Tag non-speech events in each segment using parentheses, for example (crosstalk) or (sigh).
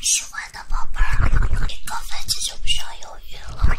喜欢的宝贝儿，给个赞就不用犹豫了。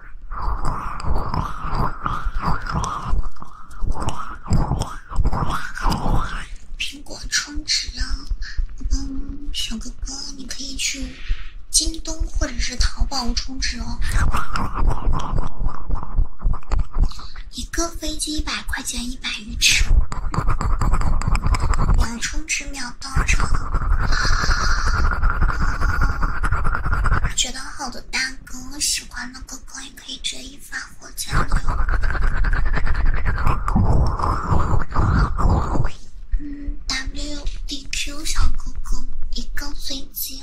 苹果充值啊！嗯，小哥哥，你可以去京东或者是淘宝充值哦。一个飞机一百块钱一百鱼翅，两充值秒。到这，觉得好的大哥，喜欢的哥哥也可以随意发我加 Q。嗯，W D Q 小哥哥，一个飞机。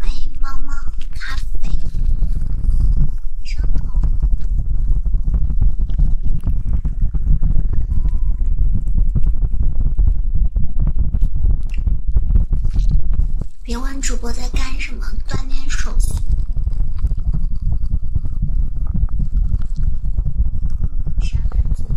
欢迎猫猫咖啡，别问主播在干什么，锻炼手心。啥粉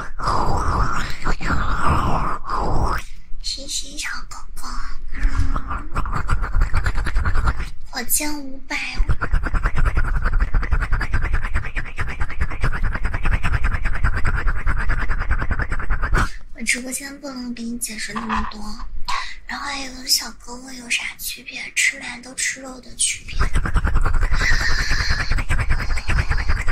星星小哥哥，我欠五百。我直播间不能给你解释那么多，然后还有小哥哥有啥区别？吃馒都吃肉的区别。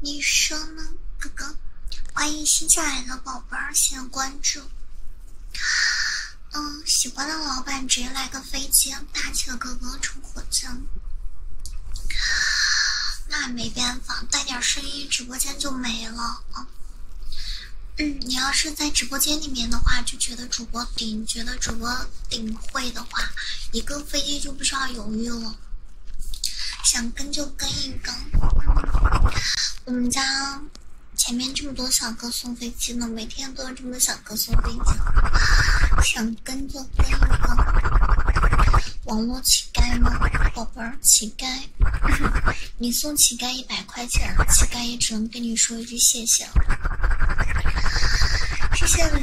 你说呢，哥哥？欢迎新进来的宝贝儿，谢谢关注。嗯，喜欢的老板直接来个飞机，大气的哥哥冲火箭。那没办法，带点声音，直播间就没了啊。嗯，你要是在直播间里面的话，就觉得主播顶，觉得主播顶会的话，一个飞机就不需要犹豫了。想跟就跟一跟。我们家前面这么多小哥送飞机呢，每天都有这么多小哥送飞机，想跟就跟一跟。网络乞丐吗，宝贝儿乞丐，你送乞丐一百块钱，乞丐也只能跟你说一句谢谢了，谢谢。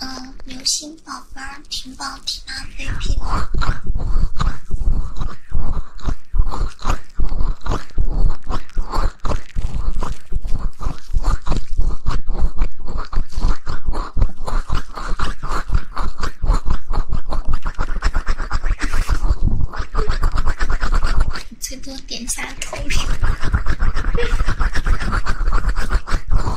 嗯，流星宝贝儿，停保停拉 v p 最多点下头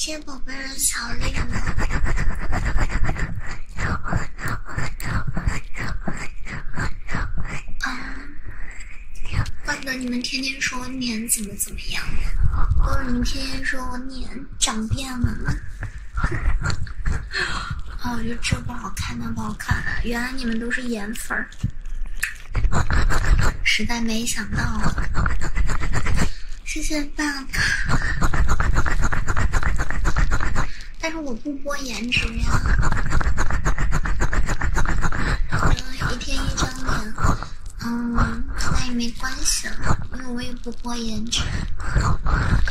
谢谢宝贝的小绿。啊，怪不得你们天天说我脸怎么怎么样，怪不得你们天天说我脸长变了吗？啊，(laughs) 我觉得这不好看，那不好看。原来你们都是颜粉儿，实在没想到。谢谢卡，但是我不播颜值呀，一天一张脸，嗯，那也没关系了，因为我也不播颜值。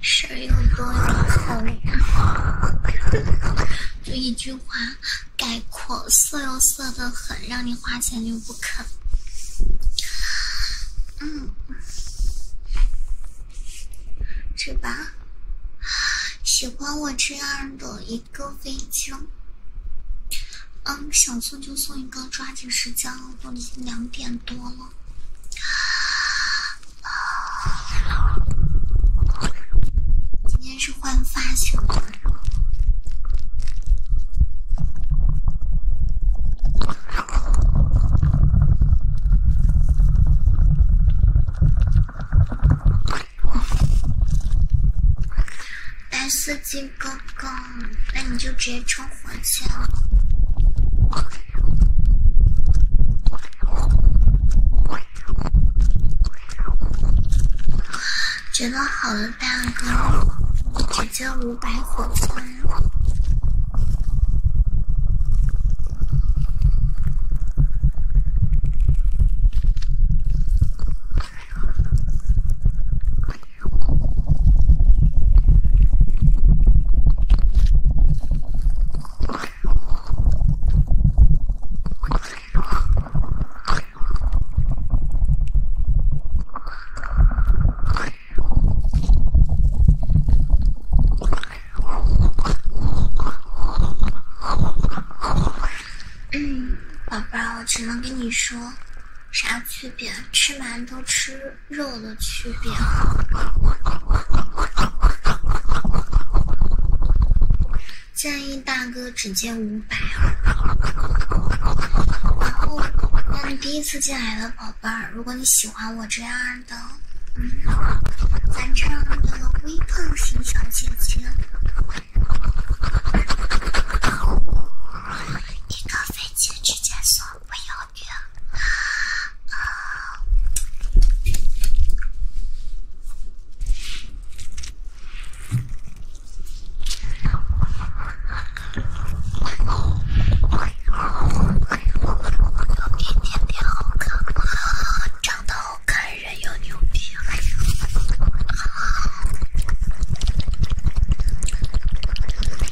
事儿又多又狠，就一句话概括：色又色的很，让你花钱又不肯。嗯，是吧，喜欢我这样的一个飞将。嗯，想送就送一个，抓紧时间。都已经两点多了，今天是换发型了，白色金哥哥。嗯，那你就直接冲火箭了。觉得好的蛋糕，直接五百火钻。我只能跟你说，啥区别？吃馒头吃。肉的区别，建议大哥只接五百。然后，让你第一次进来的宝贝儿，如果你喜欢我这样的，嗯，咱这样的微胖型小姐姐，一个飞机直接锁，我有。啊啊！我牛逼，长得好看，长得好看，人又牛逼。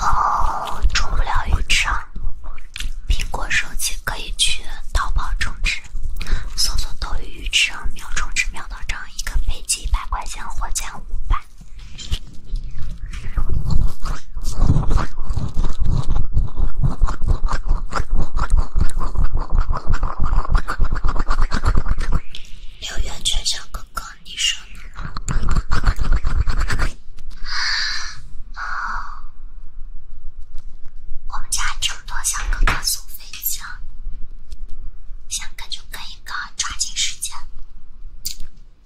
哦，充不了鱼池啊。苹果手机可以去淘宝充值，搜索斗鱼鱼支，秒充值，秒到账，一个飞机一百块钱，火箭五百。刘元泉小哥哥，你说。哦，我们家这么多小哥哥送飞机啊，想跟就跟一个，抓紧时间，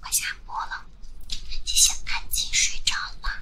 我下播了，大家安静睡着吧。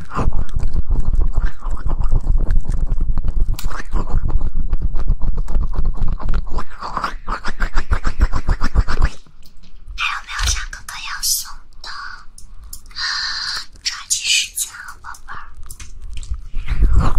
还有没有小哥哥要送的？抓紧时间啊，宝贝儿！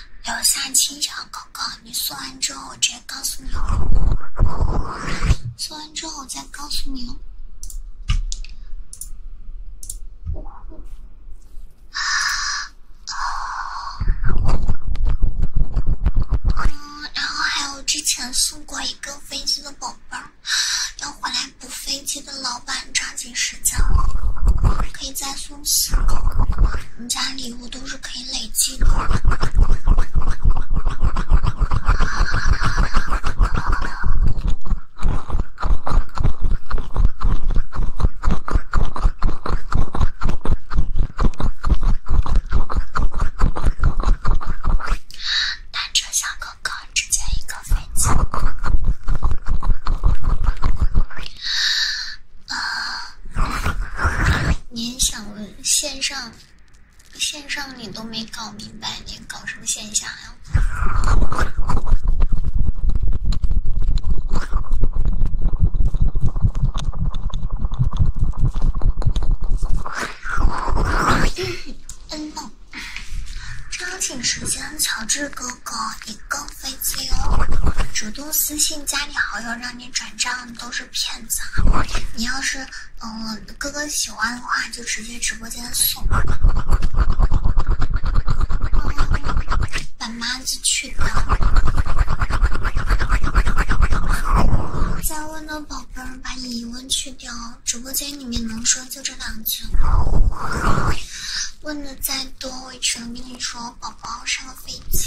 留下青桥哥哥，你送完之后我直接告诉你哦，送完之后我再告诉你哦。嗯，然后还有之前送过一个飞机的宝贝儿，要回来补飞机的老板抓紧。可以再送些。人家礼物都是可以累积的。一个飞机。啊！您想问线上？线上你都没搞明白，你搞什么线下呀？嗯抓紧时间，乔治哥哥，你够。非自由，主动私信加你好友让你转账都是骗子。你要是嗯哥哥喜欢的话，就直接直播间送。把妈字去掉。再问的宝贝儿，把疑问去掉。直播间里面能说就这两句。问的再多，我能跟你说，宝。黄色飞机。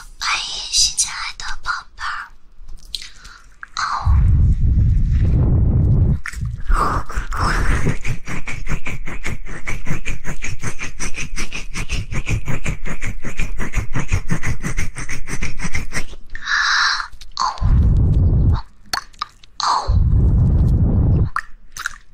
欢迎新进来的宝宝儿，哦，哦，哦。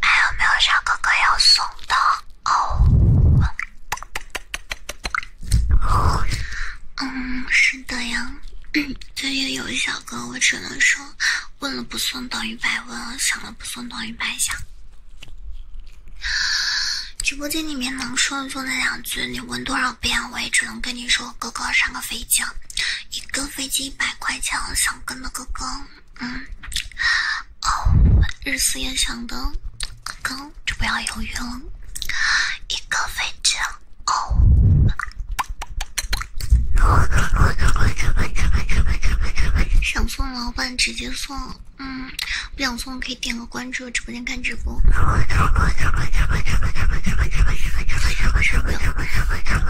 还有没有小哥哥要送的？哦，嗯，是的呀。(clears throat) 最近有小哥，我只能说，问了不送等于白问，想了不送等于白想。直播间里面能说的就那两句，你问多少遍，我也只能跟你说，哥哥上个飞机。一个飞机一百块钱，想跟的哥哥，嗯，哦，日思夜想的哥哥就不要犹豫了，一个飞机哦。想送老板直接送，嗯，不想送可以点个关注，直播间看直播。(laughs)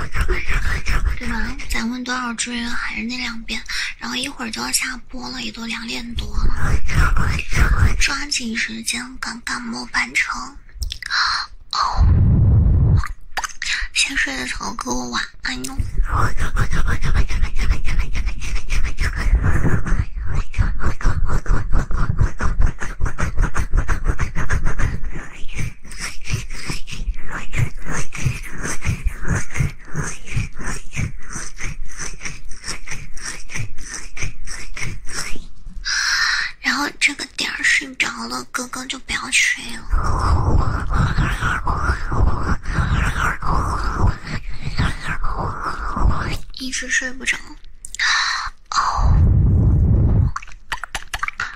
对吧？咱们多少祝愿还是那两遍，然后一会儿就要下播了，也都两点多了，抓紧时间赶赶末班车。哦，先睡的草哥晚安哟。然后这个点儿睡着了，哥哥就不要睡了，一直睡不着。哦。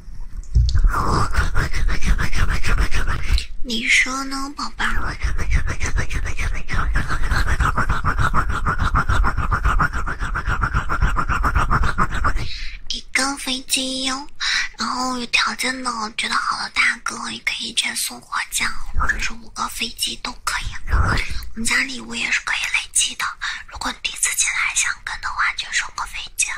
(laughs) 你说呢，宝贝一个飞机哟，然后有条件的觉得好的大哥也可以接送火箭，或者是五个飞机都可以。我们家礼物也是可以累积的，如果第一次进来想跟的话，就送个飞机。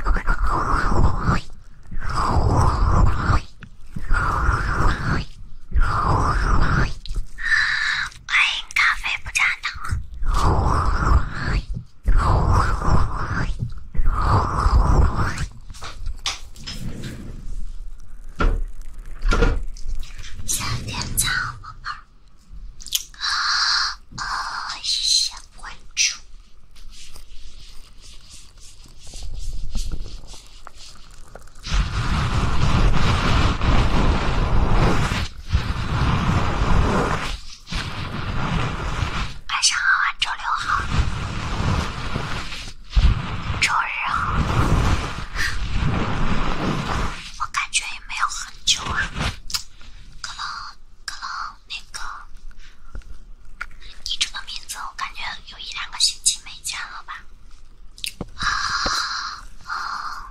欢迎咖啡不加糖。点钟，宝贝。啊啊！谢谢关注。晚上好啊，周六好，周日好。我感觉也没有很久啊，可能，可能。那个，你这个名字我感觉有一两个星期没见了吧？啊啊。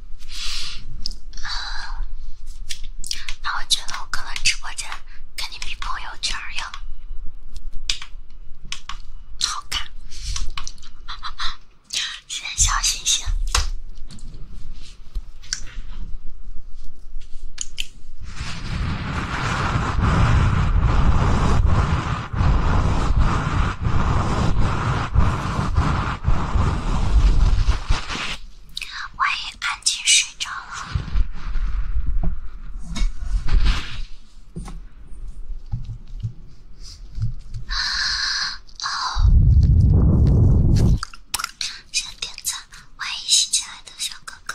嗯，那我觉得我可能直播间肯定比朋友圈要好看。谢谢小星星。万一安静睡着了，好，先点赞。万一心起来的小哥哥。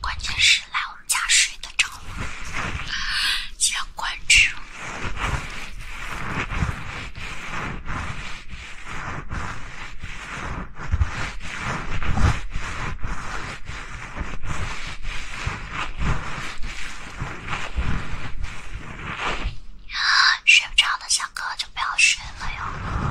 关键是来我们家睡得着吗？记得关注，睡不着的小哥哥。不要睡了哟！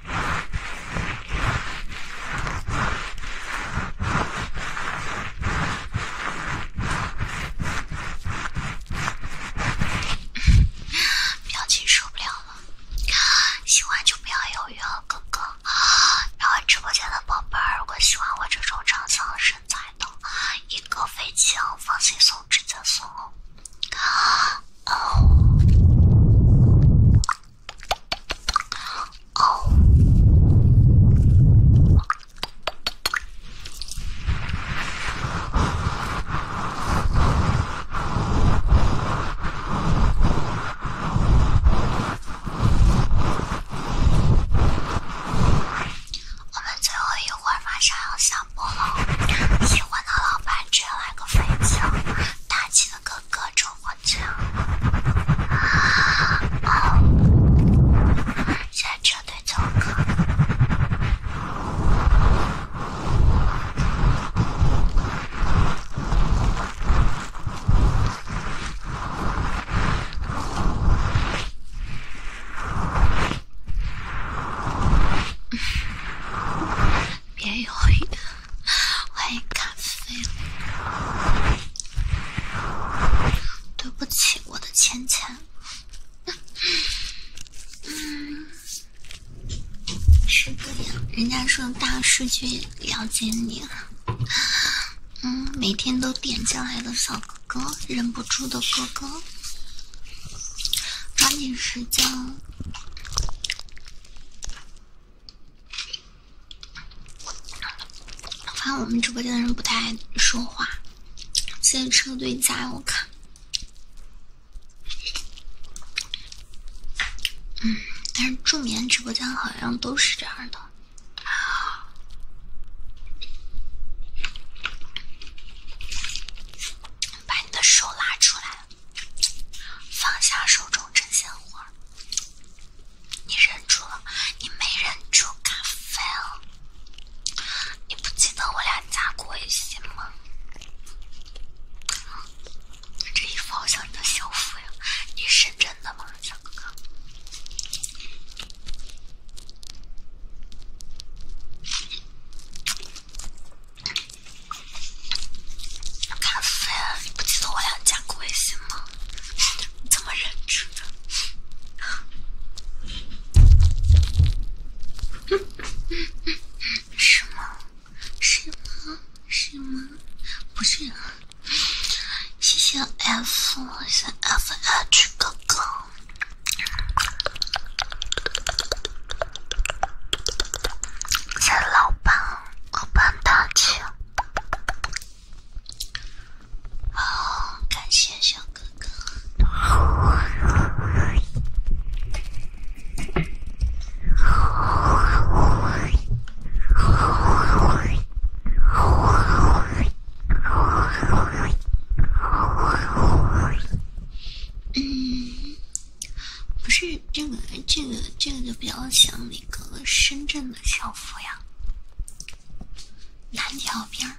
表情受不了了，喜欢就不要犹豫了，哥哥。然后直播间的宝贝儿，如果喜欢我这种长相身材的，一个飞机，放心送，直接送哦。我们最后一会马上要下播了，喜欢的老板直接来个飞粉球，打几个。各种混账！下车对走开，别犹豫。欢迎咖啡，对不起，我的芊芊。嗯，是这样，人家说大数据了解你了。嗯，每天都点进来的小哥哥，忍不住的哥哥，抓紧时间。我发现我们直播间的人不太爱说话，现在车队加油看。嗯，但是助眠直播间好像都是这样的。把你的手拉出来，放下手中针线活儿。你忍住了，你没忍住，咖啡了。你不记得我俩加过微信吗？这衣服好像你的校服呀？你是真的吗，小哥哥？咖啡，你不记得我俩加过微信吗？怎么忍住的？是吗？是吗？是吗？不是。谢谢 F 三 F H 哥哥谢谢老板老板大气。啊，感谢小哥哥。嗯，不是这个，这个，这个就比较想你。一个深圳的校服呀，蓝条边儿，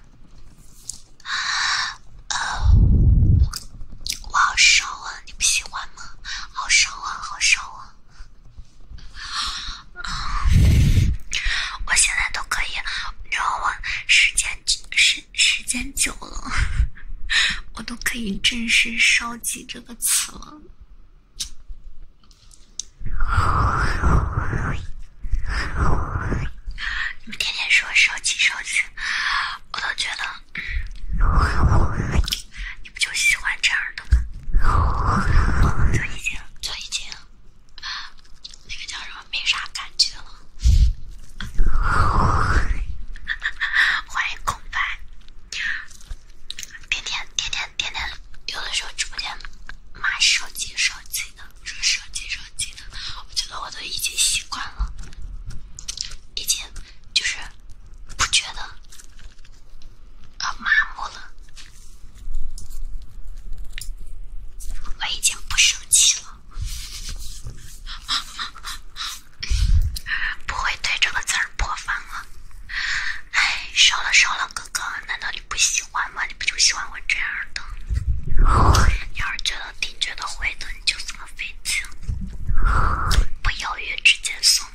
我好烧啊！你不喜欢吗？好烧啊，好烧啊！我现在都可以，你知道吗？时间时间久了，(laughs) 我都可以正式“烧级”这个词了。你们天天说手机手机，我倒觉得，你不就喜欢这样的吗？最近最近，那个叫什么没啥感觉了。(laughs) 欢迎空白。天天天天天天，有的时候直播间骂手机手机的，说手机手机的，我觉得我都已经习惯了，已经就是不觉得麻木了，我已经不生气了，不会对这个字儿。破防了，哎，少了少了，哥哥，难道你不喜欢吗？你不就喜欢我这样的？你要是觉得挺觉得会的，你就这么费劲，不犹豫直接送。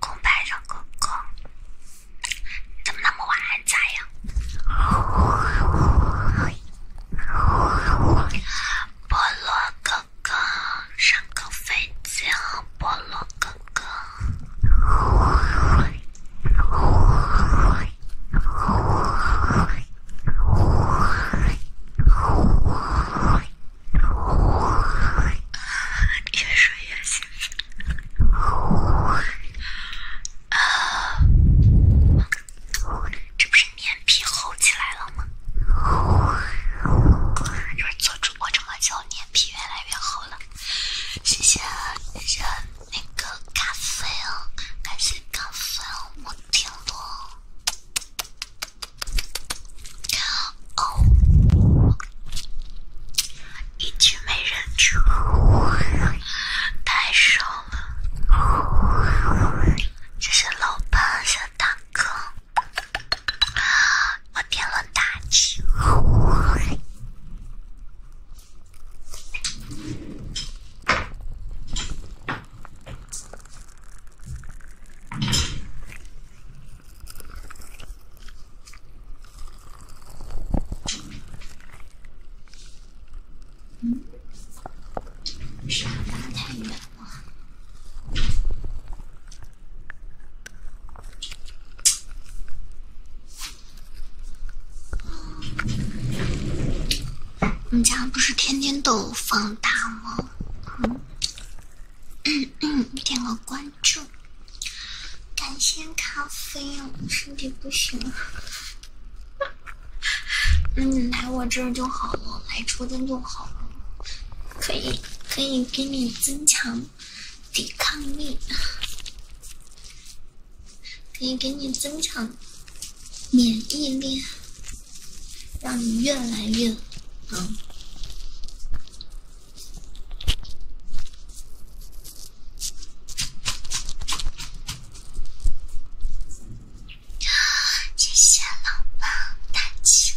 空白小哥哥，你怎么那么晚还在呀？菠萝哥哥，上课费劲，菠萝哥哥。越睡越香。这不是脸皮厚起来了吗？这不做主播这么久，脸皮越来越厚了。谢谢，谢谢那个咖啡哦，感谢咖啡哦，我天咯，哦，一直没人出，太少谢谢老板，谢谢大哥。别乱打，气嗯，沙发太了。我们家不是天天都放大吗？嗯 (coughs) 点个关注，感谢咖啡，哦，身体不行。那你来我这儿就好了，来直播间就好了，可以可以给你增强。抵抗力，可以给你增强免疫力，让你越来越好。谢谢老板大气。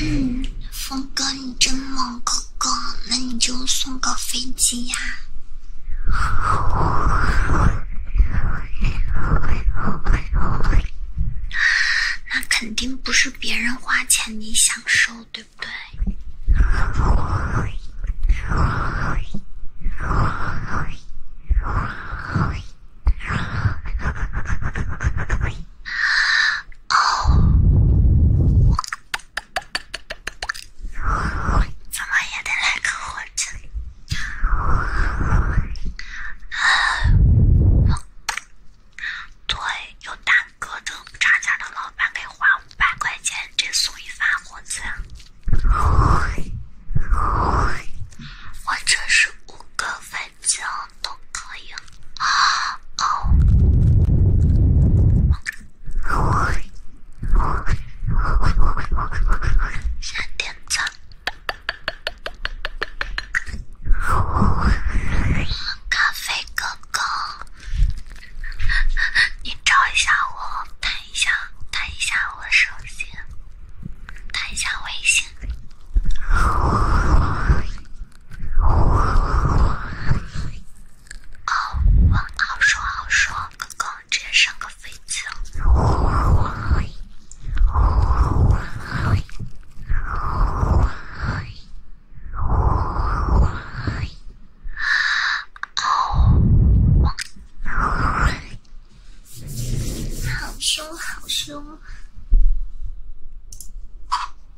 嗯，峰哥你真猛，哥哥，那你就送个飞机呀？那肯定不是别人花钱你享受，对不对？哦，怎么也得来个火针。对，有大哥的差价的老板给花五百块钱，这送一发火针。我这是五个粉。这样都可以啊！哦，先点赞。咖啡哥哥，你找一下我，弹一下，弹一下我手弹一下微信。好凶好凶。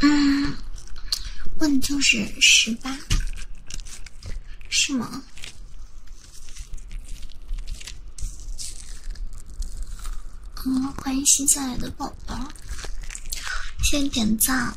嗯，问就是十八，是吗？嗯，欢迎新进来的宝宝，谢谢点赞。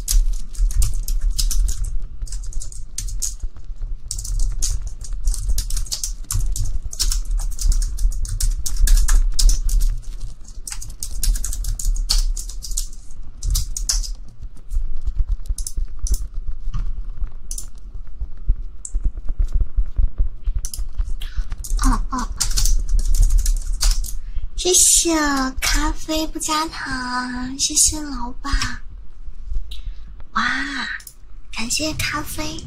哦哦，谢谢咖啡不加。好，谢谢老板。哇，感谢咖啡。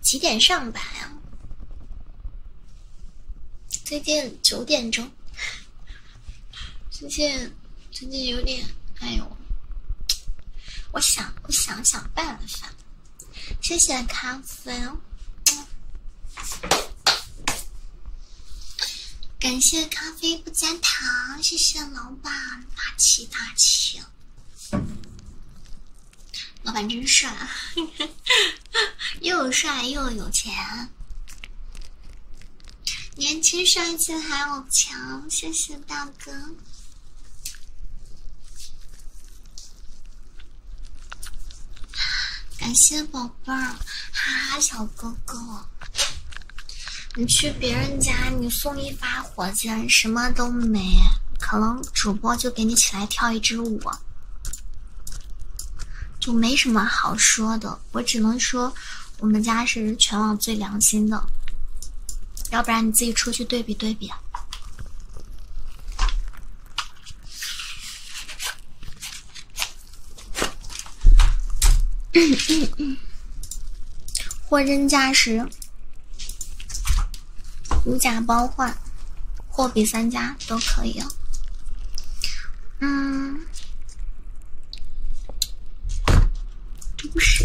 几点上班呀？最近九点钟。最近最近有点，哎呦，我想我想想办法。谢谢咖啡。感谢咖啡不加糖，谢谢老板，大气大气，老板真帅，(laughs) 又帅又有钱，年轻帅气还有强，谢谢大哥。感谢宝贝儿，哈哈，小哥哥，你去别人家你送一发火箭，什么都没，可能主播就给你起来跳一支舞，就没什么好说的。我只能说，我们家是全网最良心的，要不然你自己出去对比对比。(coughs) 货真价实，如假包换，货比三家都可以。哦。嗯，不是。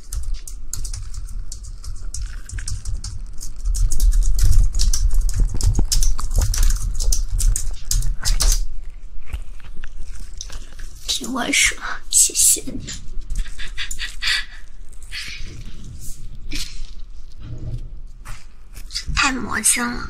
听我说，谢谢你，太魔性了。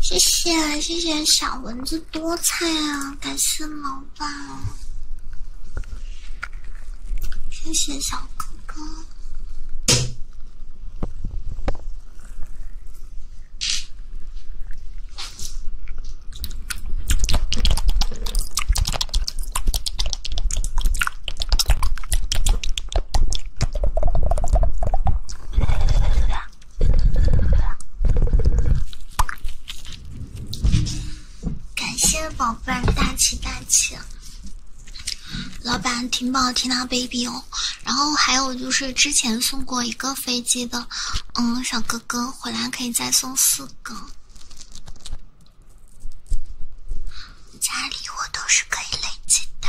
谢谢谢谢小蚊子多菜啊，感谢老板。谢谢小哥哥。感谢宝贝，大气大气！老板，挺宝听他 baby 哦。然后还有就是之前送过一个飞机的，嗯，小哥哥回来可以再送四个，家里我都是可以累积的。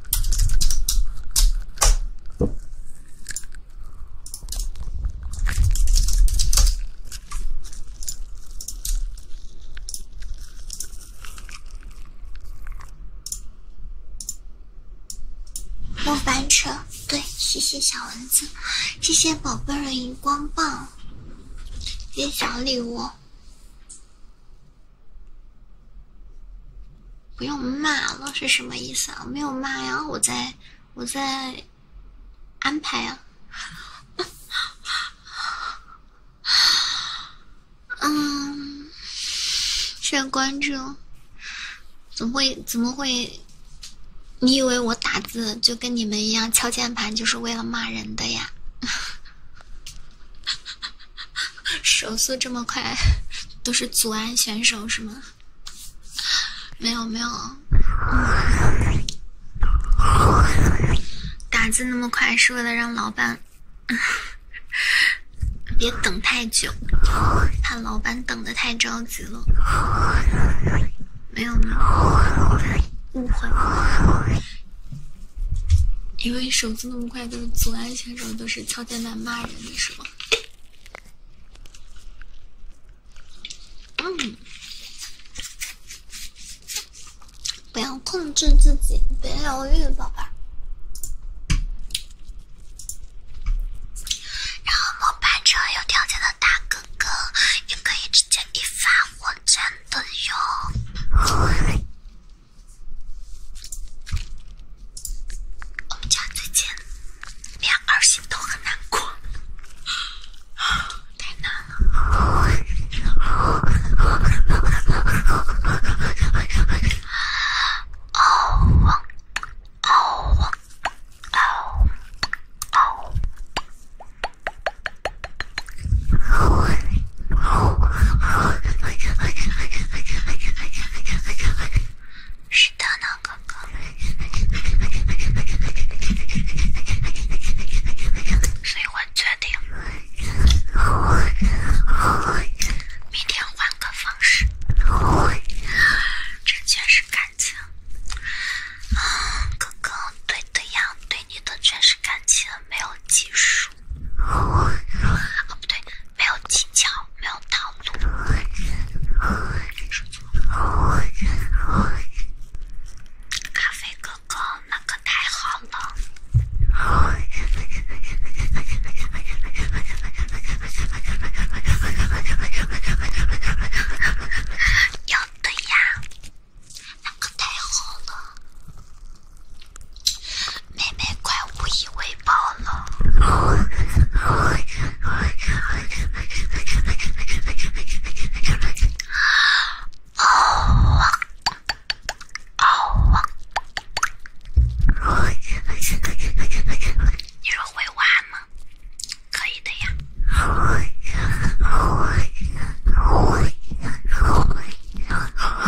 莫翻车，对，谢谢小蚊子，谢谢宝贝的荧光棒，谢谢小礼物。不用骂了是什么意思啊？没有骂呀，我在，我在安排呀。(laughs) 嗯，先关注。怎么会？怎么会？你以为我打字就跟你们一样敲键盘就是为了骂人的呀？(laughs) 手速这么快，都是祖安选手是吗？没有没有，打字那么快是为了让老板别等太久，怕老板等得太着急了。没有没有，误会。因为手速那么快，都是阻碍选手，都是敲键盘骂人的是吗？嗯，不要控制自己，别犹豫，宝贝。儿。然后末班车有条件的大哥哥也可以直接一发火真的哟。我们家最近连二星都很难过，(gasps) (laughs) 是的呢，哥哥。所以换决定。明天换个方式。完全是感情。啊，哥哥，对的呀，对，你完全是感情，没有技术。哦，不对，没有技巧，没有套路。咖啡哥哥，那个太好了。要的呀，那可太好了。(laughs) 妹妹快无以为报了！哦哦哦哦哦哦哦哦哦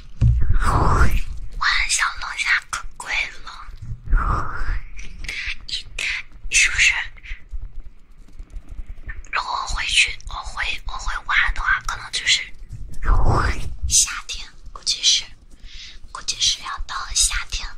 武汉小龙虾可贵了，一是不是？如果我回去，我回我回武汉的话，可能就是夏天，估计是，估计是要到夏天了。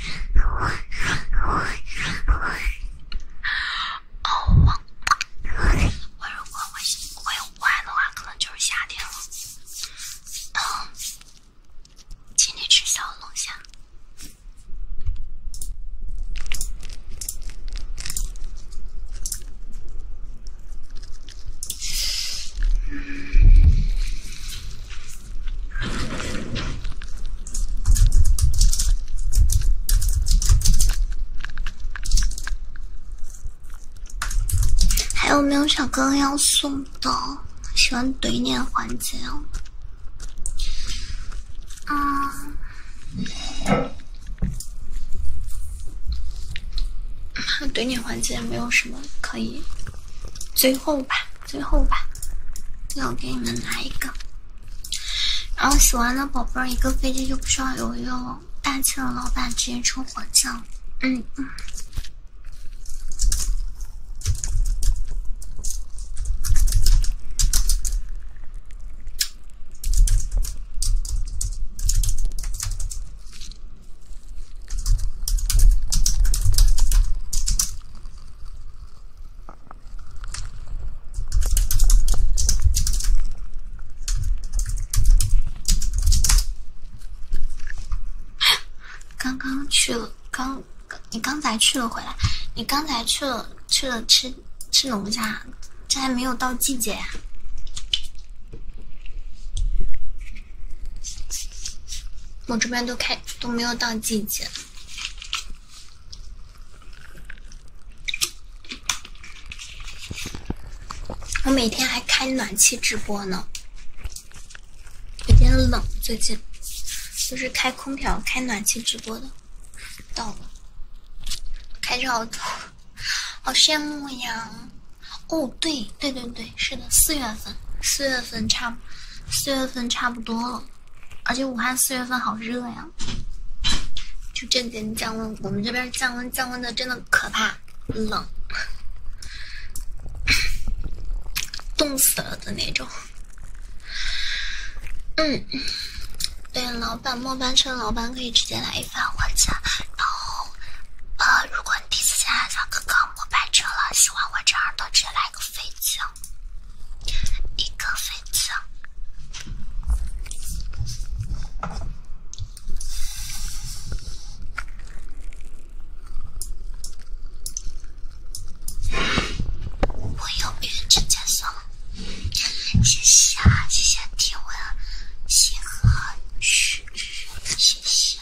哦，我如果会会快乐的话，可能就是夏天了。嗯，请你吃小龙虾。还有没有小哥哥要送的？喜欢怼脸环节哦。啊。怼脸环节没有什么可以，最后吧。最后吧，最后给你们拿一个。然后喜欢的宝贝儿，一个飞机就不需要犹豫了。大气的老板直接抽火箭，嗯。(gasps) 刚刚去了，刚刚你刚才去了回来，你刚才去了去了吃吃龙虾，这还没有到季节呀。我这边都开都没有到季节。我每天还开暖气直播呢，有点冷。最近就是开空调、开暖气直播的，到了，开着好，好羡慕呀！哦，对对对对，是的，四月份，四月份差，四月份差不多了。而且武汉四月份好热呀，就几天降温。我们这边降温降温的真的可怕，冷，冻死了的那种。嗯，对，老板末班车，老板可以直接来一份火鸡。然后，呃，如果第一次见来小哥哥末班车了，喜欢我这样的直接来个。飞球，一个飞球。我要变成加速。谢谢啊，谢谢听我新歌曲，谢谢。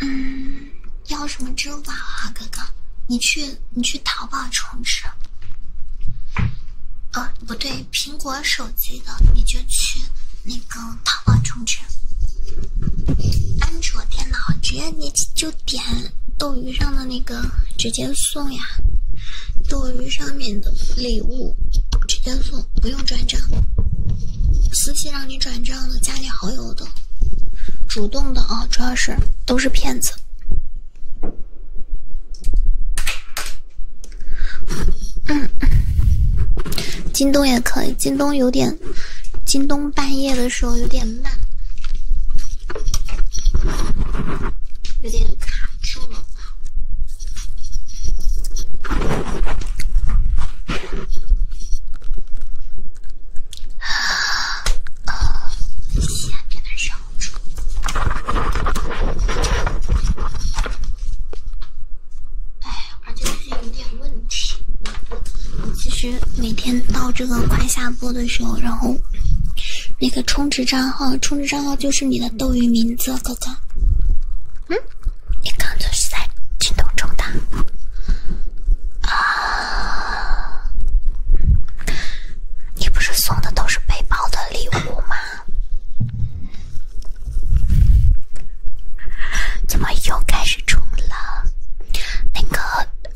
嗯，要什么支付宝啊，哥哥？你去你去淘宝充值。呃，不对，苹果手机的你就去那个淘宝充值。安卓电脑直接你就点斗鱼上的那个直接送呀。斗鱼上面的礼物直接送，不用转账。私信让你转账的，加你好友的，主动的啊，主要是都是骗子。嗯，京东也可以，京东有点，京东半夜的时候有点慢，有点卡。啊！啊！下面的忍住。哎，而且最近有点问题。我其实每天到这个快下播的时候，然后那个充值账号，充值账号就是你的斗鱼名字，哥哥。嗯？你刚才是在京东充的啊？你不是送的都是背包的礼物吗？怎么又开始充了？那个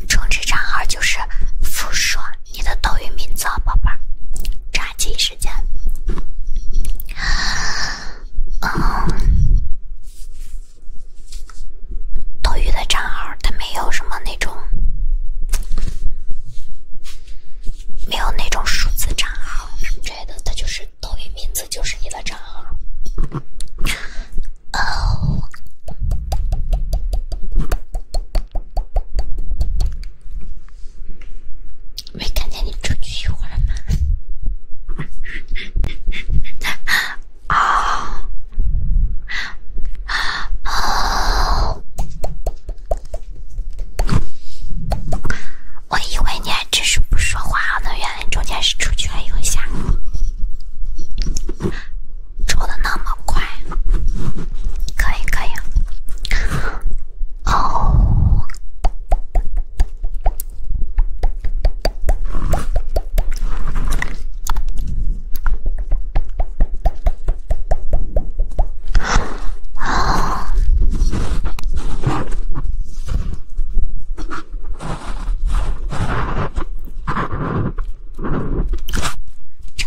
充值账号就是付硕，你的抖音名字啊，宝贝儿，抓紧。之间，嗯，抖音的账号它没有什么那种，没有那种数字账号什么之类的，它就是抖音名字就是你的账号。没看见你出去一会儿吗？啊啊啊！我以为你还只是不说话呢，原来中间是出去了一下，抽的那么快，可以可以。哦，哦，正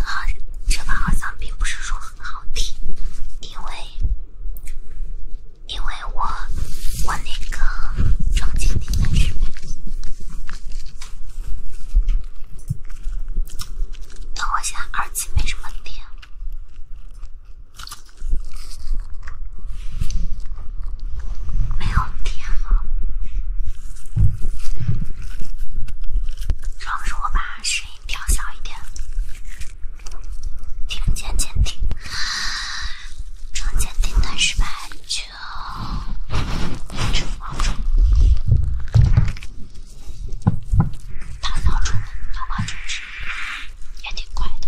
好，这把好嗓并不是说很好听，因为。因为我我那个装间停的设备。等我现在耳机没什么电，没有电了。主要是我把声音调小一点。听不见监听，装监听失败，就出脑虫，打脑虫，脑虫也挺怪的。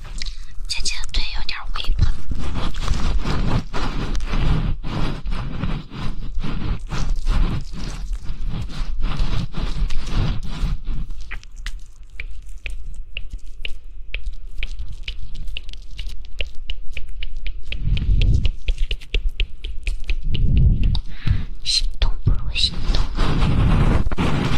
姐姐的腿有点微胖，心动不如行动。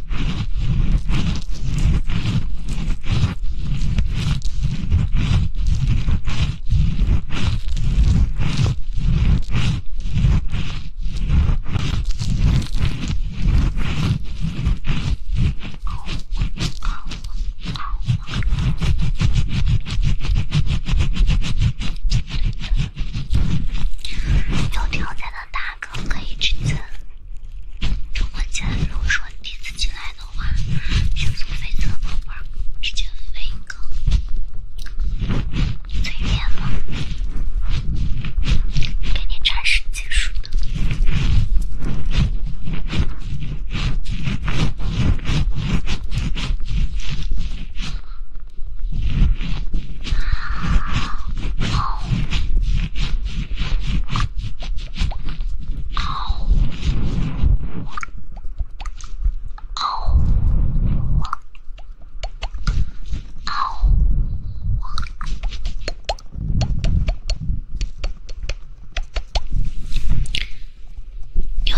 有条件的大哥可以直尊。直播间，如果说第一次进来的话，就送飞车，宝贝儿，直接飞一个嘴脸吗？给你展示技术的。有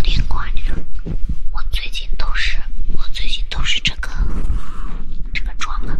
点夸张，我最近都是，我最近都是这个这个妆了。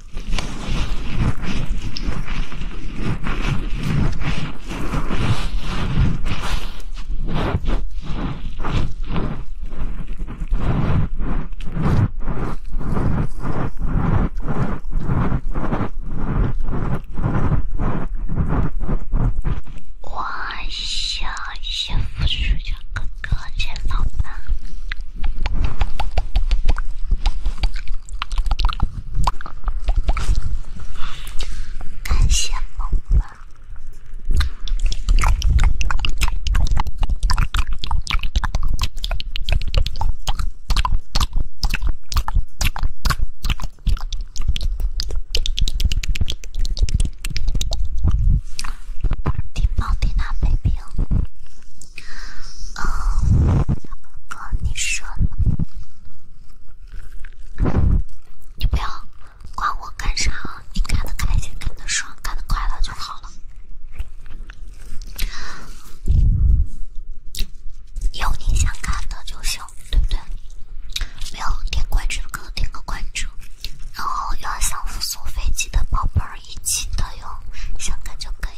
我想先扶睡觉哥哥起来吧。感谢妈妈，宝蒂宝蒂娜 b 嗯，哥你说你不要管我干啥，你干的开心、干的爽、干的快乐就好了。有你想看的就行，对不对？不要点关注，哥，点个关注。然后要想复苏飞机的宝贝儿一起的哟，想看就可以。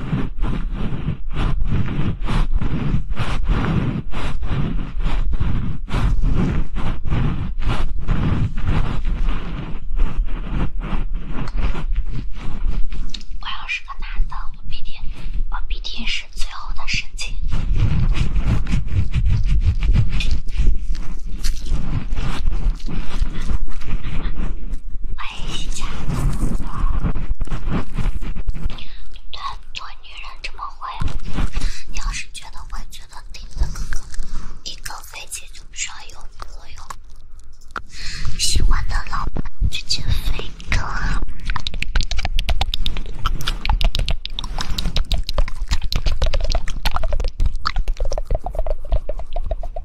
我要是个男的，我必定，我必定是最后的胜者。哎，瞎说！对，做女人这么会？你要是觉得会觉得听的歌，一个飞机就需要有歌哟。喜欢的老婆直接飞歌。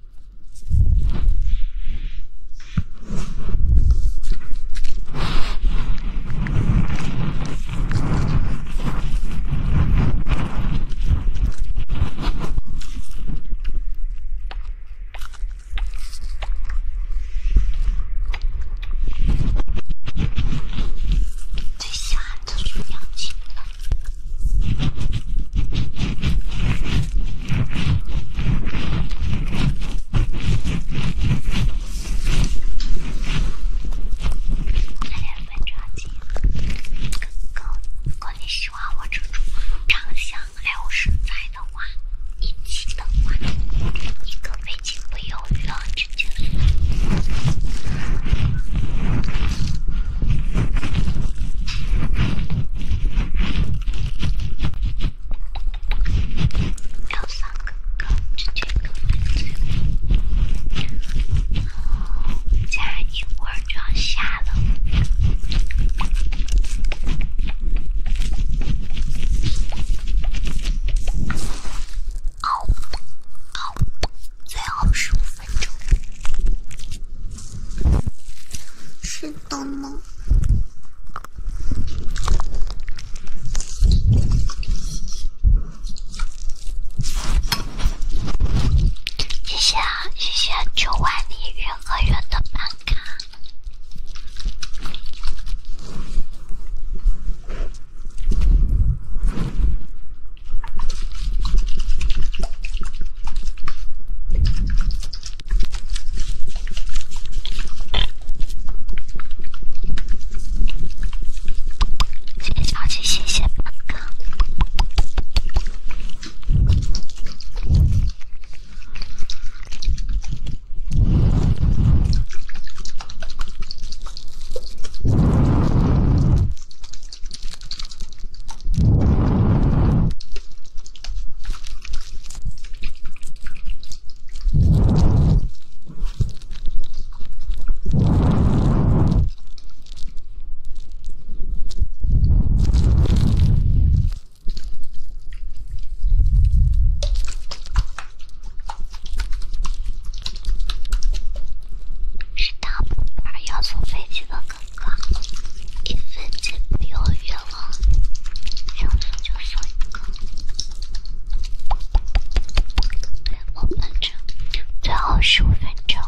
最下的是氧气了。再来分叉机。哥，哥，你喜欢我这种长相，爱我身材的话，一千的话，你可别轻不犹豫了，要三个，直接扣蚊子。然后，再一会儿就要下了。哦，哦，最后十五分钟，是。咚咚！谢谢啊，谢谢九万里云和月的办卡。谢谢小鸡，谢谢哥哥。是大宝要坐飞机的哥。哥，一分钱不要愿望，想送就送哥。对呀，我们这最后十五分钟，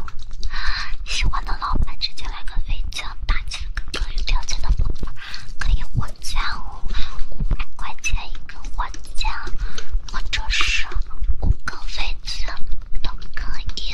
喜欢的老板直接来个飞机大价格。有条件的宝宝可以火箭哦，五百块钱一个火箭，或者是五个飞机都可以。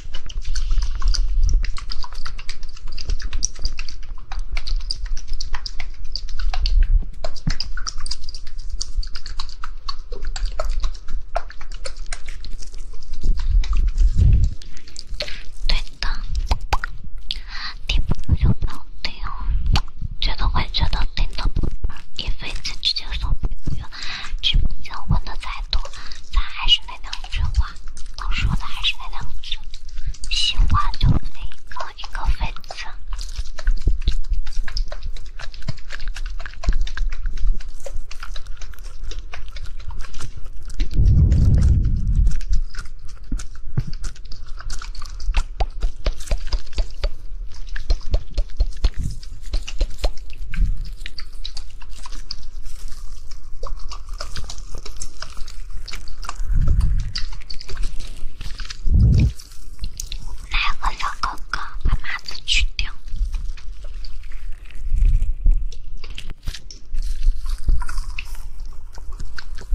对的，听不就不要听哦，觉得快觉得听的一辈子直接说不要。直播间问的再多，咱还是那两句话。我说的还是那两个字，喜欢就给一个粉色。来个小哥哥，把麻子去掉，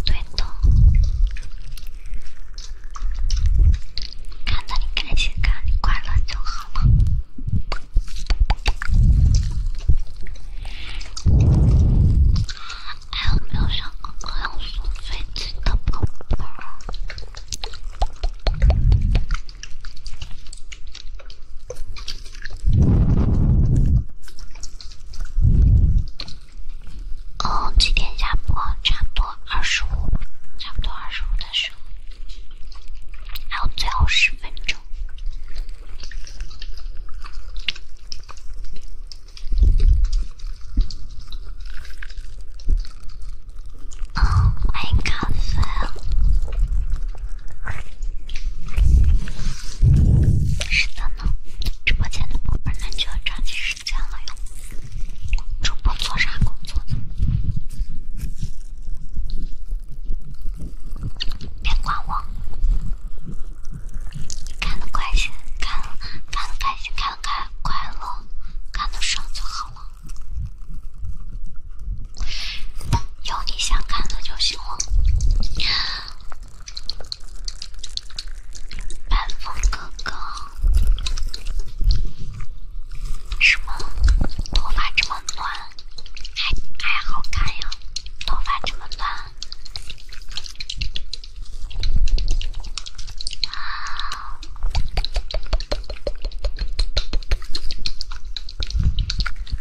对的。看着你开心，看着你快乐就好了。还有没有想哥哥要送飞机的宝宝？哦，几点下播？差不多二十差不多二十的时候，还有最后十分钟。哦，欢迎咖啡。是的呢，直播间的宝贝，们就要抓紧时间了哟。主播做啥工作的？别管我。看得开心，看得开心，看得开快乐，看得上就好了。有你想看的就行喽。板风哥哥，是吗？头发这么乱，还还好看呀？头发这么乱。啊，我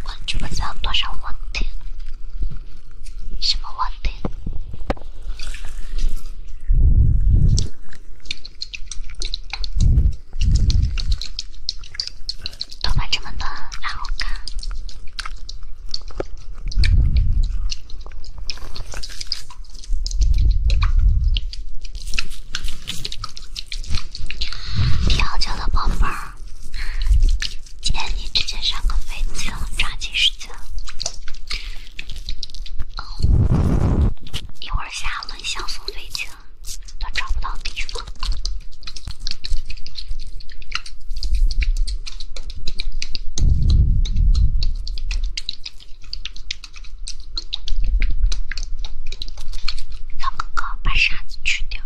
关注我，赞多少问题？什么问题？头发这么短，难看。调教的宝贝今天你直接上个飞机，抓紧时间。一会儿下午送飞机都找不到地方。老哥哥，把沙子去掉。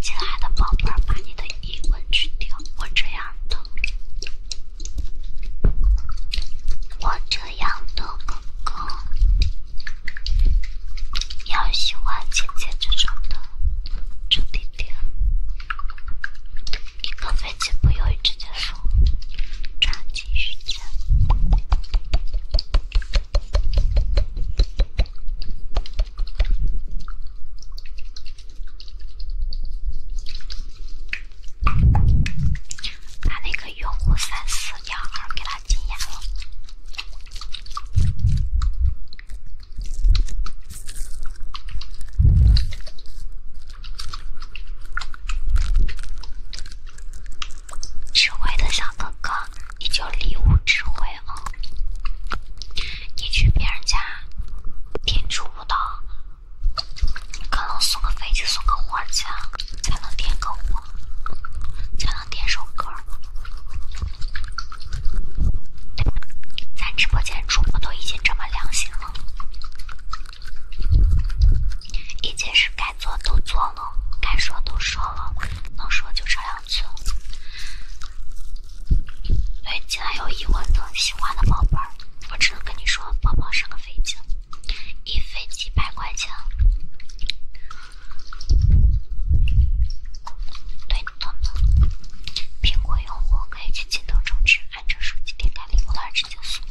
亲爱的宝贝，把你的疑问去掉。我这样的，我这样的哥哥要喜欢简简这种的。重点点，你刚没几步，又直接说抓紧时间。他那个用户三四幺二给他禁言了。智慧的小哥哥，你就礼物智慧哦。你去别人家点出不到，可能送个飞机、送个花儿去，才能点个火。点首歌。咱直播间主播都已经这么良心了，一件是该做都做了，该说都说了，能说就这两次。对，以，进有疑问的、喜欢的宝贝儿，我只能跟你说，宝宝上个飞机，一飞几百块钱。退出他们。苹果用户可以去京东充值，安卓手机点开领红包直接送。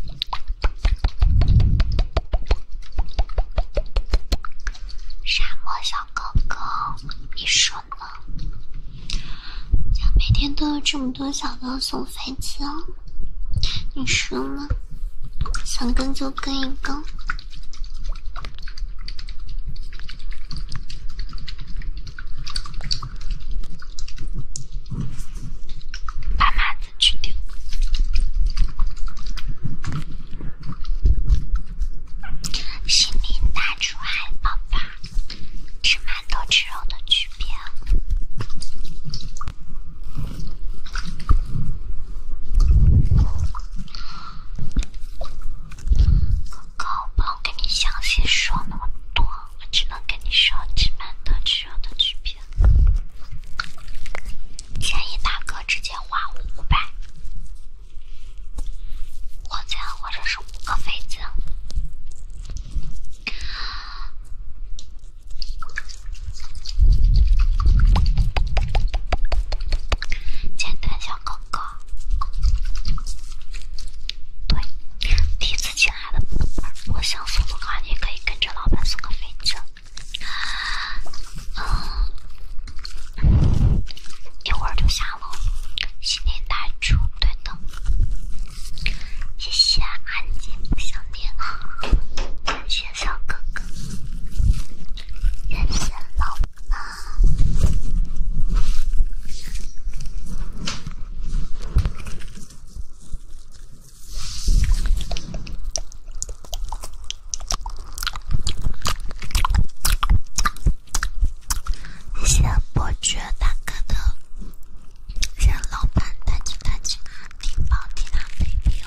沙漠小哥哥，你说呢？像每天都有这么多小哥送飞机，哦，你说呢？想跟就跟一个。爸妈在去丢。心灵大厨，汉堡包，吃馒头吃肉的区别。哥，不能跟你详细说那么多，我只能跟你说吃馒头、吃肉的区别。建议大哥直接花五百，或者或者是五个妃子，简单小哥。哥，对，第一次进来的，我想送的话，你可以跟着老板送个飞机。嗯，一会就下了，新年大祝，对的，谢谢安静小棉袄，谢小哥哥，谢谢老。板。谢伯爵大哥的，谢老板大姐大姐，提包提拿 baby，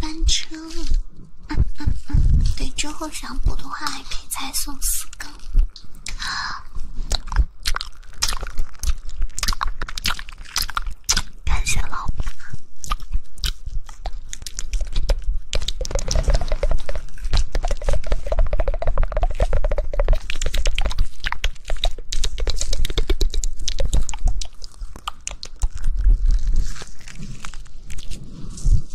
换车了。嗯嗯嗯，对，之后想补的话还可以再送四根，感谢老板。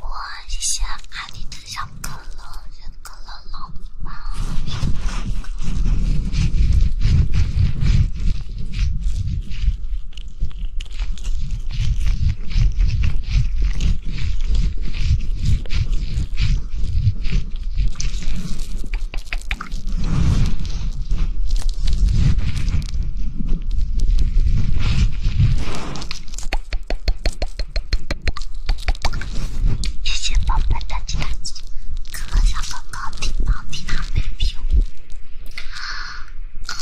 我先把你的小可乐、热可乐弄完。谢谢宝贝打击打击，看来小哥哥挺忙，替他被逼。啊，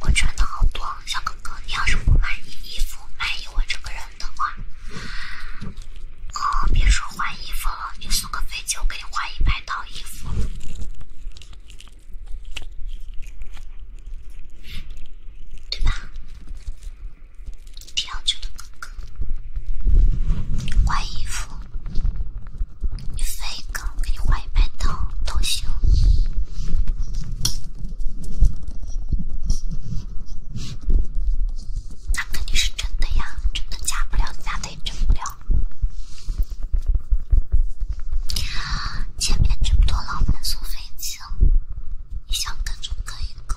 我穿的好多，小哥哥，你要是不满意衣服，满意我这个人的话，啊，别说换衣服了，你送个飞机，我给你换一百套衣服。对吧？提要求的哥哥，你换衣服，你飞哥给你换一百套都行。那肯定是真的呀，真的假不了，假的也真不了。前面这么多老板送飞机，你想跟就跟一个？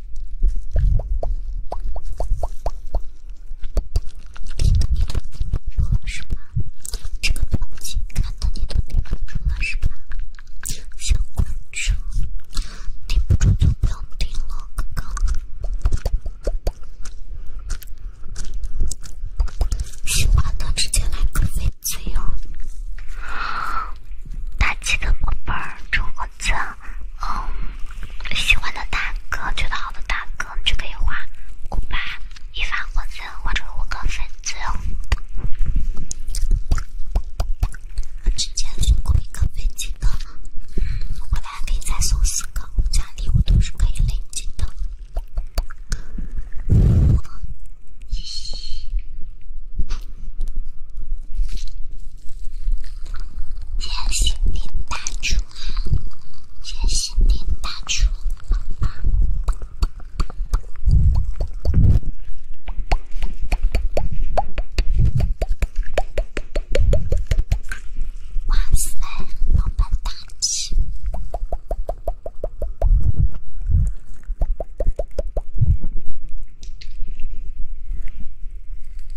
六十八，这个表情看到你的脸，六十八，想关注顶不住就不要顶了，哥哥。喜欢的直接来个粉子哟！打气的宝贝儿，冲我走！嗯，喜欢的大哥，觉得好的大哥，你就可以花五八一发火箭，换成五个飞机。直接送过一个飞机的，回来还可以再送四个。加礼物都是可以累积的。谢谢丁大厨啊！谢谢丁大厨，老板！哇塞，老板大气！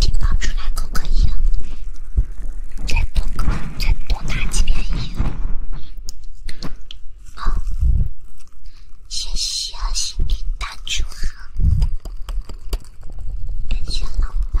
举报出来可可以，再多再多打几遍音。好，谢谢，心灵大组合，感谢老爸。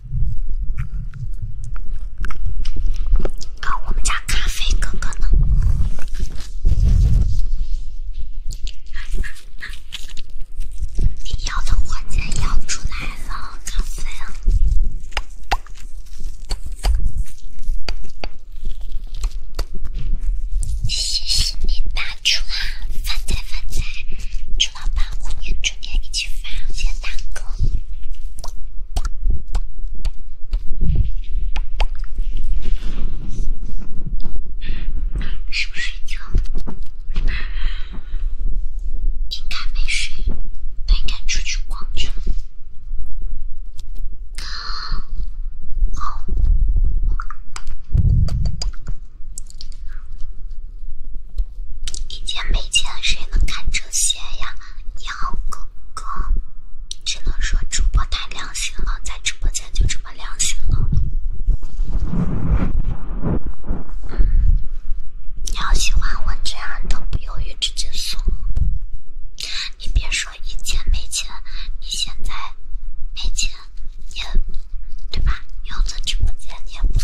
啊，我们家咖啡哥哥呢？你要的火箭摇出来了，咖啡。谢谢你帮助啊，发财发财！老板，我们明天一起发接单去。是不是睡觉了？应该没睡，应该出去逛去了。好。以前没钱，谁能看这些呀，你好，哥哥？只能说主播太良心了，在直播间就这么良心了。你要喜欢我这样的，不犹豫直接送。你别说以前没钱，你现在没钱也对吧？用在直播间你也。不。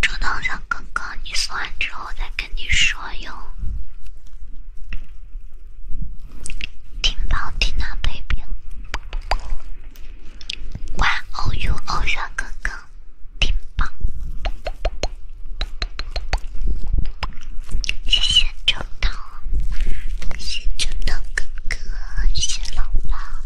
这等下刚刚你送完之后再跟你说哟，听吧，听吧，baby。哇哦哟，小哥哥，挺棒！谢谢正道，谢谢正道哥哥，谢老爸。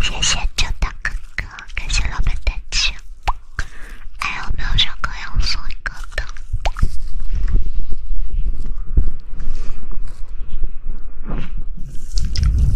谢谢周大哥哥，感谢老板打气。还有没有要送一个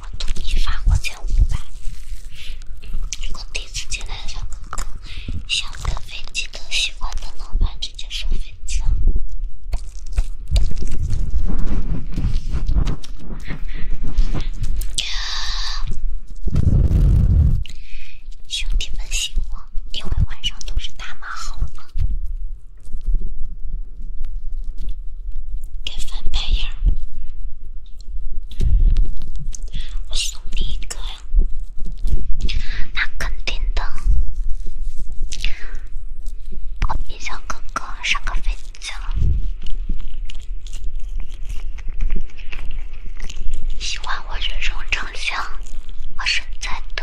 我统一发火箭五百。我第一次进来小哥哥，想跟飞机哥喜欢的老板直接上飞机了。兄弟们醒我，因为晚上都是大码，好吗？敢翻白眼我送你一个。那肯定的。我冰小哥哥上个飞机了。喜欢我这种长相，我身材的。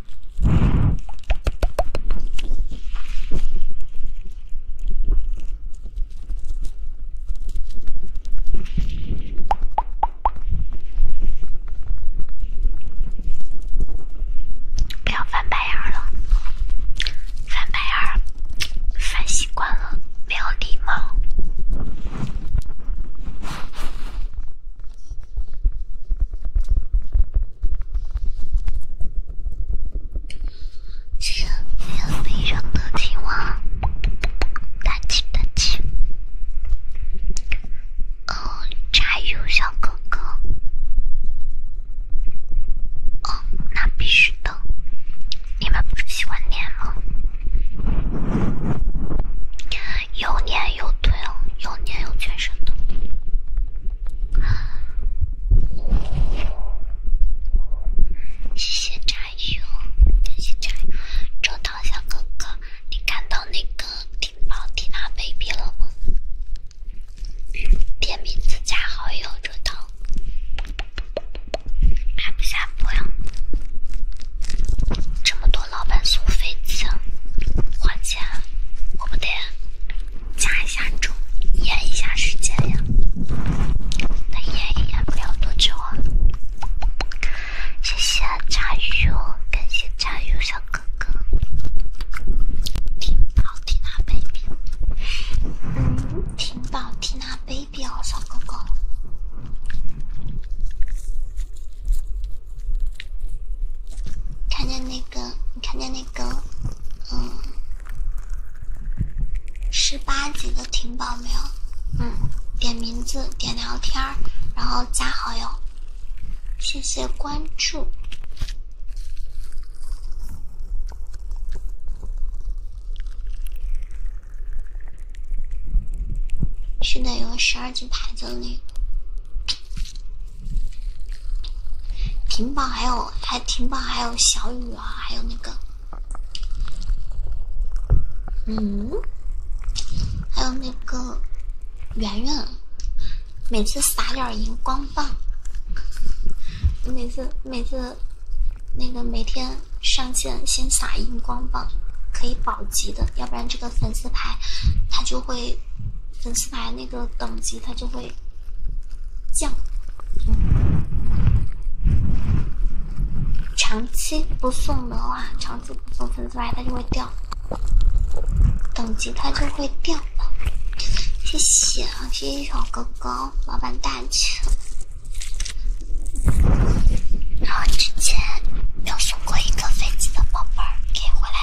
不要翻白眼了，翻白眼翻习惯了，没有礼貌。今天非常的哦，油小哥哥！那必须的，你们不是喜欢吗？有捏。有腿哦，有捏，有全身的。谢谢炸鱼谢谢炸鱼。周涛小哥哥，你看到那个蒂宝蒂娜 baby 了吗？点名字加好友，周涛。还不下播呀？这么多。老板送飞机还钱，我不得加一下钟，延一下时间呀。那延也延不了多久啊。谢谢炸鱼哦，感谢炸鱼小哥哥。婷宝缇娜 baby，嗯，婷宝缇娜 baby 哦，小哥哥。看见那个，你看见那个，嗯，十八级的婷宝没有？嗯，点名字，点聊天然后加好友，谢谢关注。是的，有十二级牌子的那个。挺棒，还有还挺棒，还有小雨啊，还有那个，嗯，还有那个圆圆，每次撒点荧光棒，每次每次那个每天上线先撒荧光棒，可以保级的，要不然这个粉丝牌他就会。粉丝牌那个等级它就会降，长期不送的话，长期不送粉丝牌它就会掉，等级它就会掉。谢谢啊，谢谢小哥哥，老板大气。然后之前没有送过一个飞机的宝贝儿，给回来。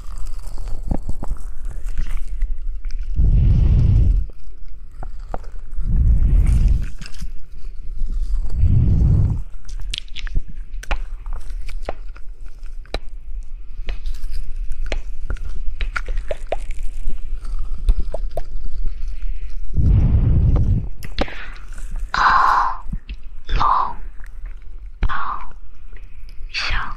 啊，龙宝箱。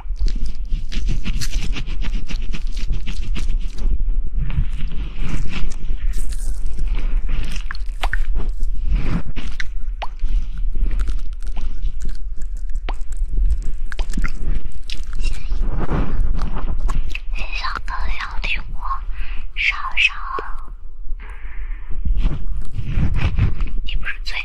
你想不想听我上上？你不是最？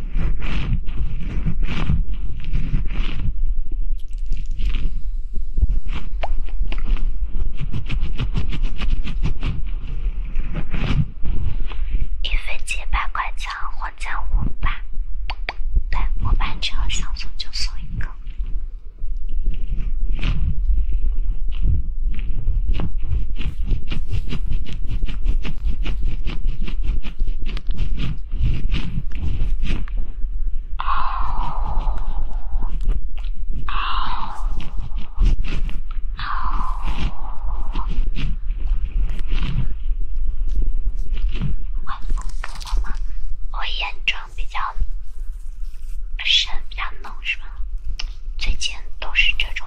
一份几百块钱，或者五百。对，我办这个小送就送一个。浓是吗？最近都是这种。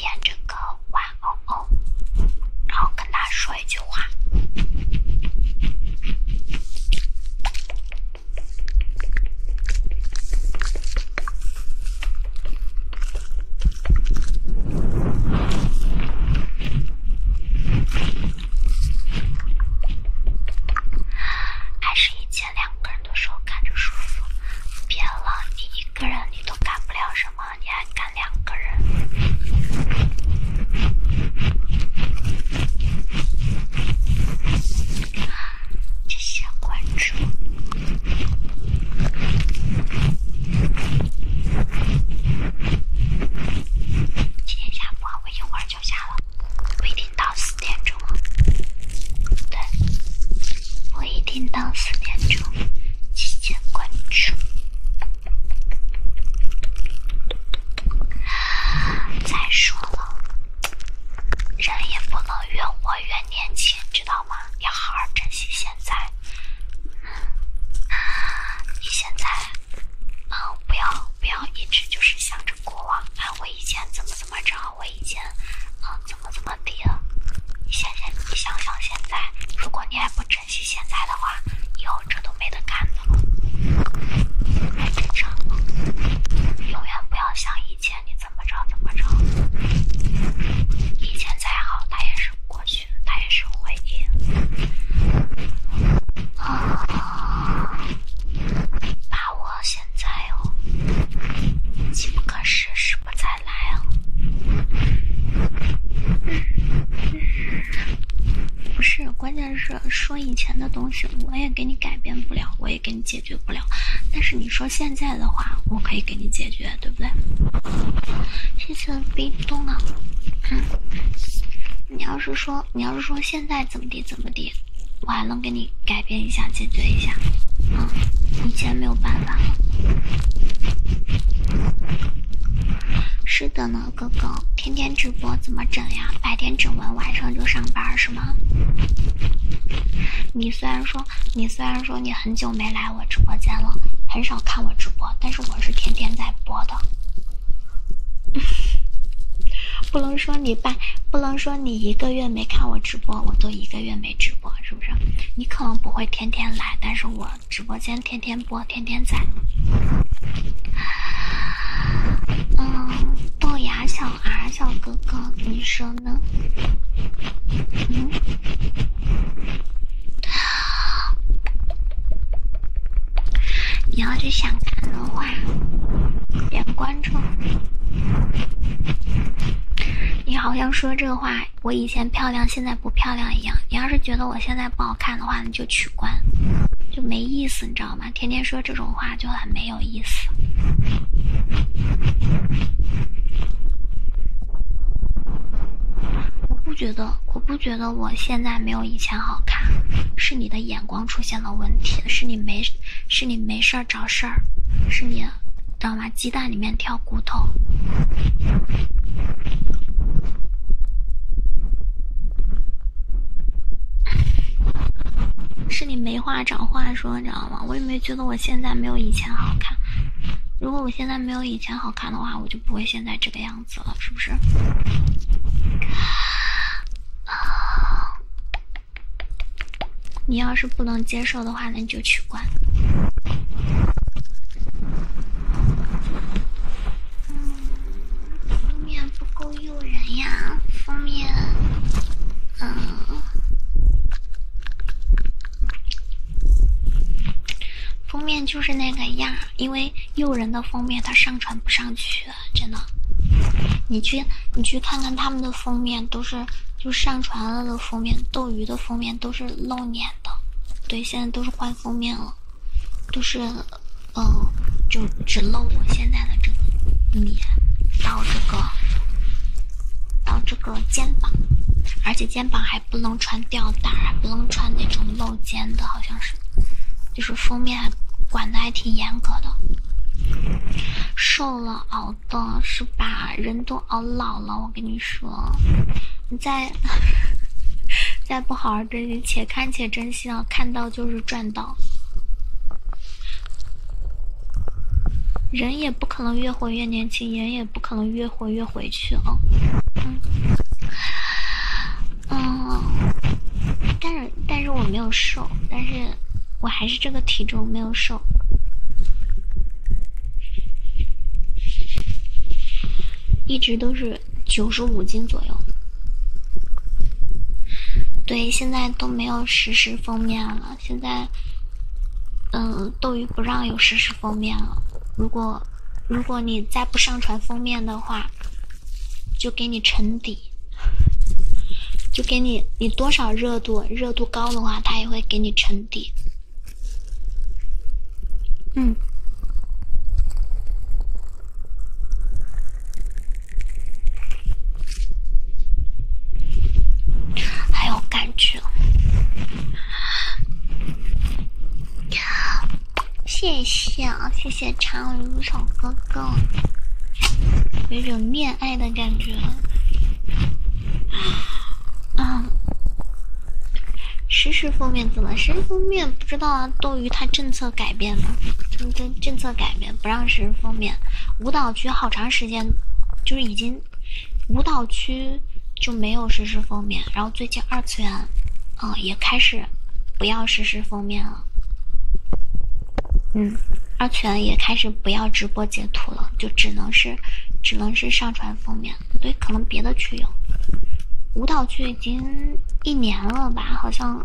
点这个玩偶，然后跟他说一句话，还是一切。两个人的时候看着舒服。别了，你一个人你都干不了什么，你还干两个人？一会儿就下了，不一定到四点钟。对。我一定到四点钟，提前关注。再说了，人也不能越活越年轻，知道吗？要好好珍惜现在。你现在，嗯，不要不要一直就是想着过往，哎，我以前怎么怎么着。我以前，嗯，怎么怎么地？你想想，你想想，现在，如果你还不珍惜现在的话，以后这都没得干的了。还正常，永远不要想以前，你怎么着怎么着。以前再好，它也是过去，它也是回忆。啊，把握现在哦，机不可失，失不再。来啊！不是，关键是说以前的东西，我也给你改变不了，我也给你解决不了。但是你说现在的话，我可以给你解决，对不对？这次冰冻动啊！你要是说，你要是说现在怎么地怎么地，我还能给你改。改变一下，解决一下。啊，以前没有办法了。是的呢，哥哥，天天直播怎么整呀？白天整完，晚上就上班是吗？你虽然说，你虽然说你很久没来我直播间了，很少看我直播，但是我是天天在播的。(laughs) 不能说你半，不能说你一个月没看我直播，我都一个月没。没直播是不是？你可能不会天天来，但是我直播间天天播，天天在。嗯，豆芽小 R 小哥哥，你说呢？嗯，你要是想看的话，点关注。你好像说这话。我以前漂亮，现在不漂亮一样。你要是觉得我现在不好看的话，你就取关，就没意思，你知道吗？天天说这种话就很没有意思。我不觉得，我不觉得我现在没有以前好看，是你的眼光出现了问题，是你没，是你没事找事儿，是你让。鸡蛋里面挑骨头，是你没话找话说，你知道吗？我也没觉得我现在没有以前好看。如果我现在没有以前好看的话，我就不会现在这个样子了，是不是？啊，你要是不能接受的话，那就。就取关。封面不够诱人呀，封面，封面就是那个样，因为诱人的封面它上传不上去，真的。你去，你去看看他们的封面，都是就上传了的封面，斗鱼的封面。都是露脸的，对，现在都是换封面了，都是，嗯，就只露我现在的这个脸，到这个，到这个肩膀，而且肩膀还不能穿吊带，还不能穿那种露肩的，好像是，就是封面还管的还挺严格的，瘦了哦。的是吧？人都熬老了，我跟你说，你再再不好好珍惜，且看且珍惜啊！看到就是赚到。人也不可能越活越年轻，人也不可能越活越回去哦。嗯，嗯，但是但是我没有瘦，但是我还是这个体重没有瘦。一直都是九十五斤左右。对，现在都没有实时封面了。现在，嗯，斗鱼不让有实时封面了。如果如果你再不上传封面的话，就给你沉底。就给你，你多少热度？热度高的话，他也会给你沉底。嗯，很有感觉，谢谢啊，谢谢长如小哥哥，有一种恋爱的感觉，啊。实时封面怎么？实时封面不知道啊，斗鱼它政策改变了，政政政策改变不让实时封面。舞蹈区好长时间，就是已经舞蹈区就没有实时封面，然后最近二次元，啊也开始不要实时封面了。嗯，二次元也开始不要直播截图了，就只能是只能是上传封面。不对，可能别的区有，舞蹈区已经一年了吧？好像，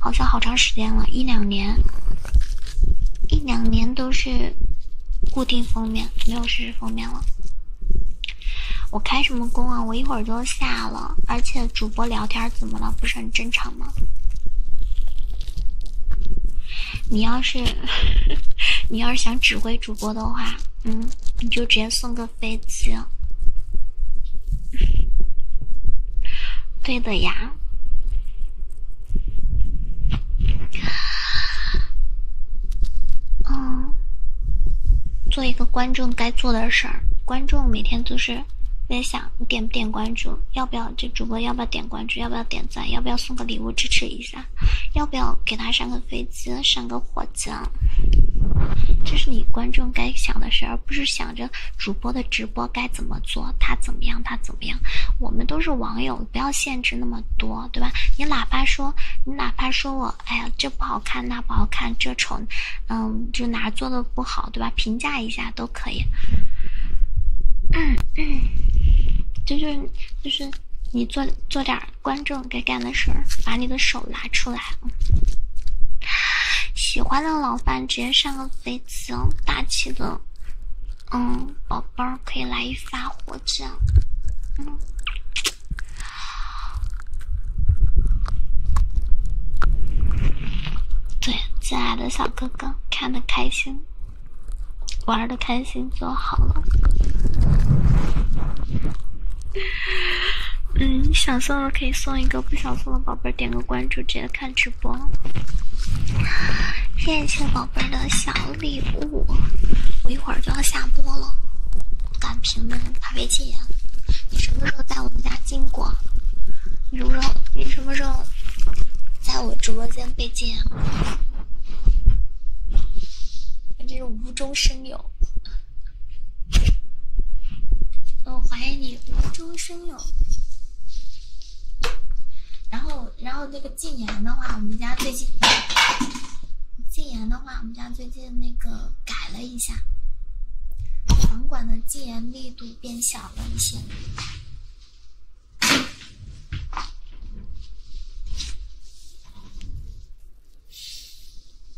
好像好长时间了，一两年，一两年都是固定封面，没有实时封面了。我开什么工啊？我一会儿就下了，而且主播聊天怎么了？不是很正常吗？你要是，(laughs) 你要是想指挥。主播的话，嗯，你就直接送个飞机，对的呀，嗯，做一个观众该做的事儿。观众每天都是在想，你点不点关注，要不要这主播，要不要点关注，要不要点赞，要不要送个礼物支持一下。要不要给他上个飞机，上个火箭？这是你观众该想的事，而不是想着主播的直播该怎么做，他怎么样，他怎么样。我们都是网友，不要限制那么多，对吧？你哪怕说，你哪怕说我，哎呀，这不好看，那不好看，这丑，嗯，就哪做的不好，对吧？评价一下都可以。嗯，(coughs) 就是就是你做做点儿。观众该干的事，把你的手拿出来。喜欢的老伴直接上个飞机，大气的。嗯，宝贝儿可以来一发火箭。嗯。对，进爱的小哥哥，看的开心。玩的开心就好了。嗯，想送的可以送一个，不想送的宝贝点个关注，直接看直播。谢谢宝贝的小礼物，我一会儿就要下播了。敢评论，怕被禁言？你什么时候在我们家进过？你什么时候你什么时候在我直播间被禁言？这是。无中生有，我怀疑你无中生有。然后，然后那个禁言的话，我们家最近禁言的话，我们家最近那个改了一下，房管的禁言力度变小了一些。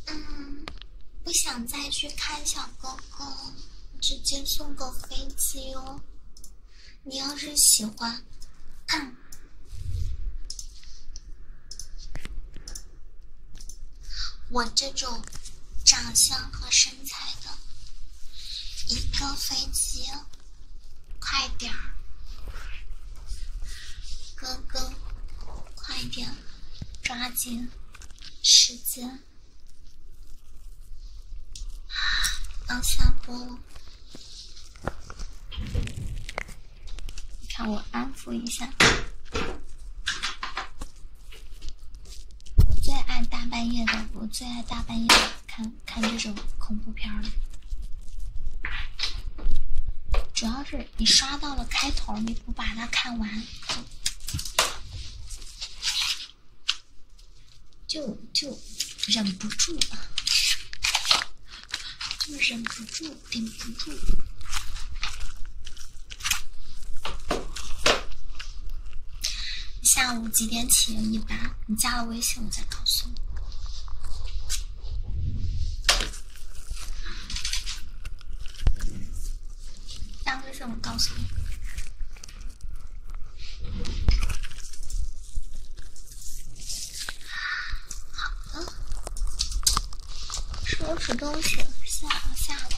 嗯，不想再去看小哥哥，直接送个飞机哦。你要是喜欢，我这种长相和身材的，一个飞机。快点儿，哥哥，快点，抓紧时间，要下播了。你看我安抚一下。我最爱大半夜的，我最爱大半夜看看这种恐怖片了，主要。是你刷到了开头，你不把它看完，就就忍不住，就忍不住，顶不住。下午几点起一般？你加了微信，我再告诉你。下次我告诉你。好了，收拾东西，下楼，下楼。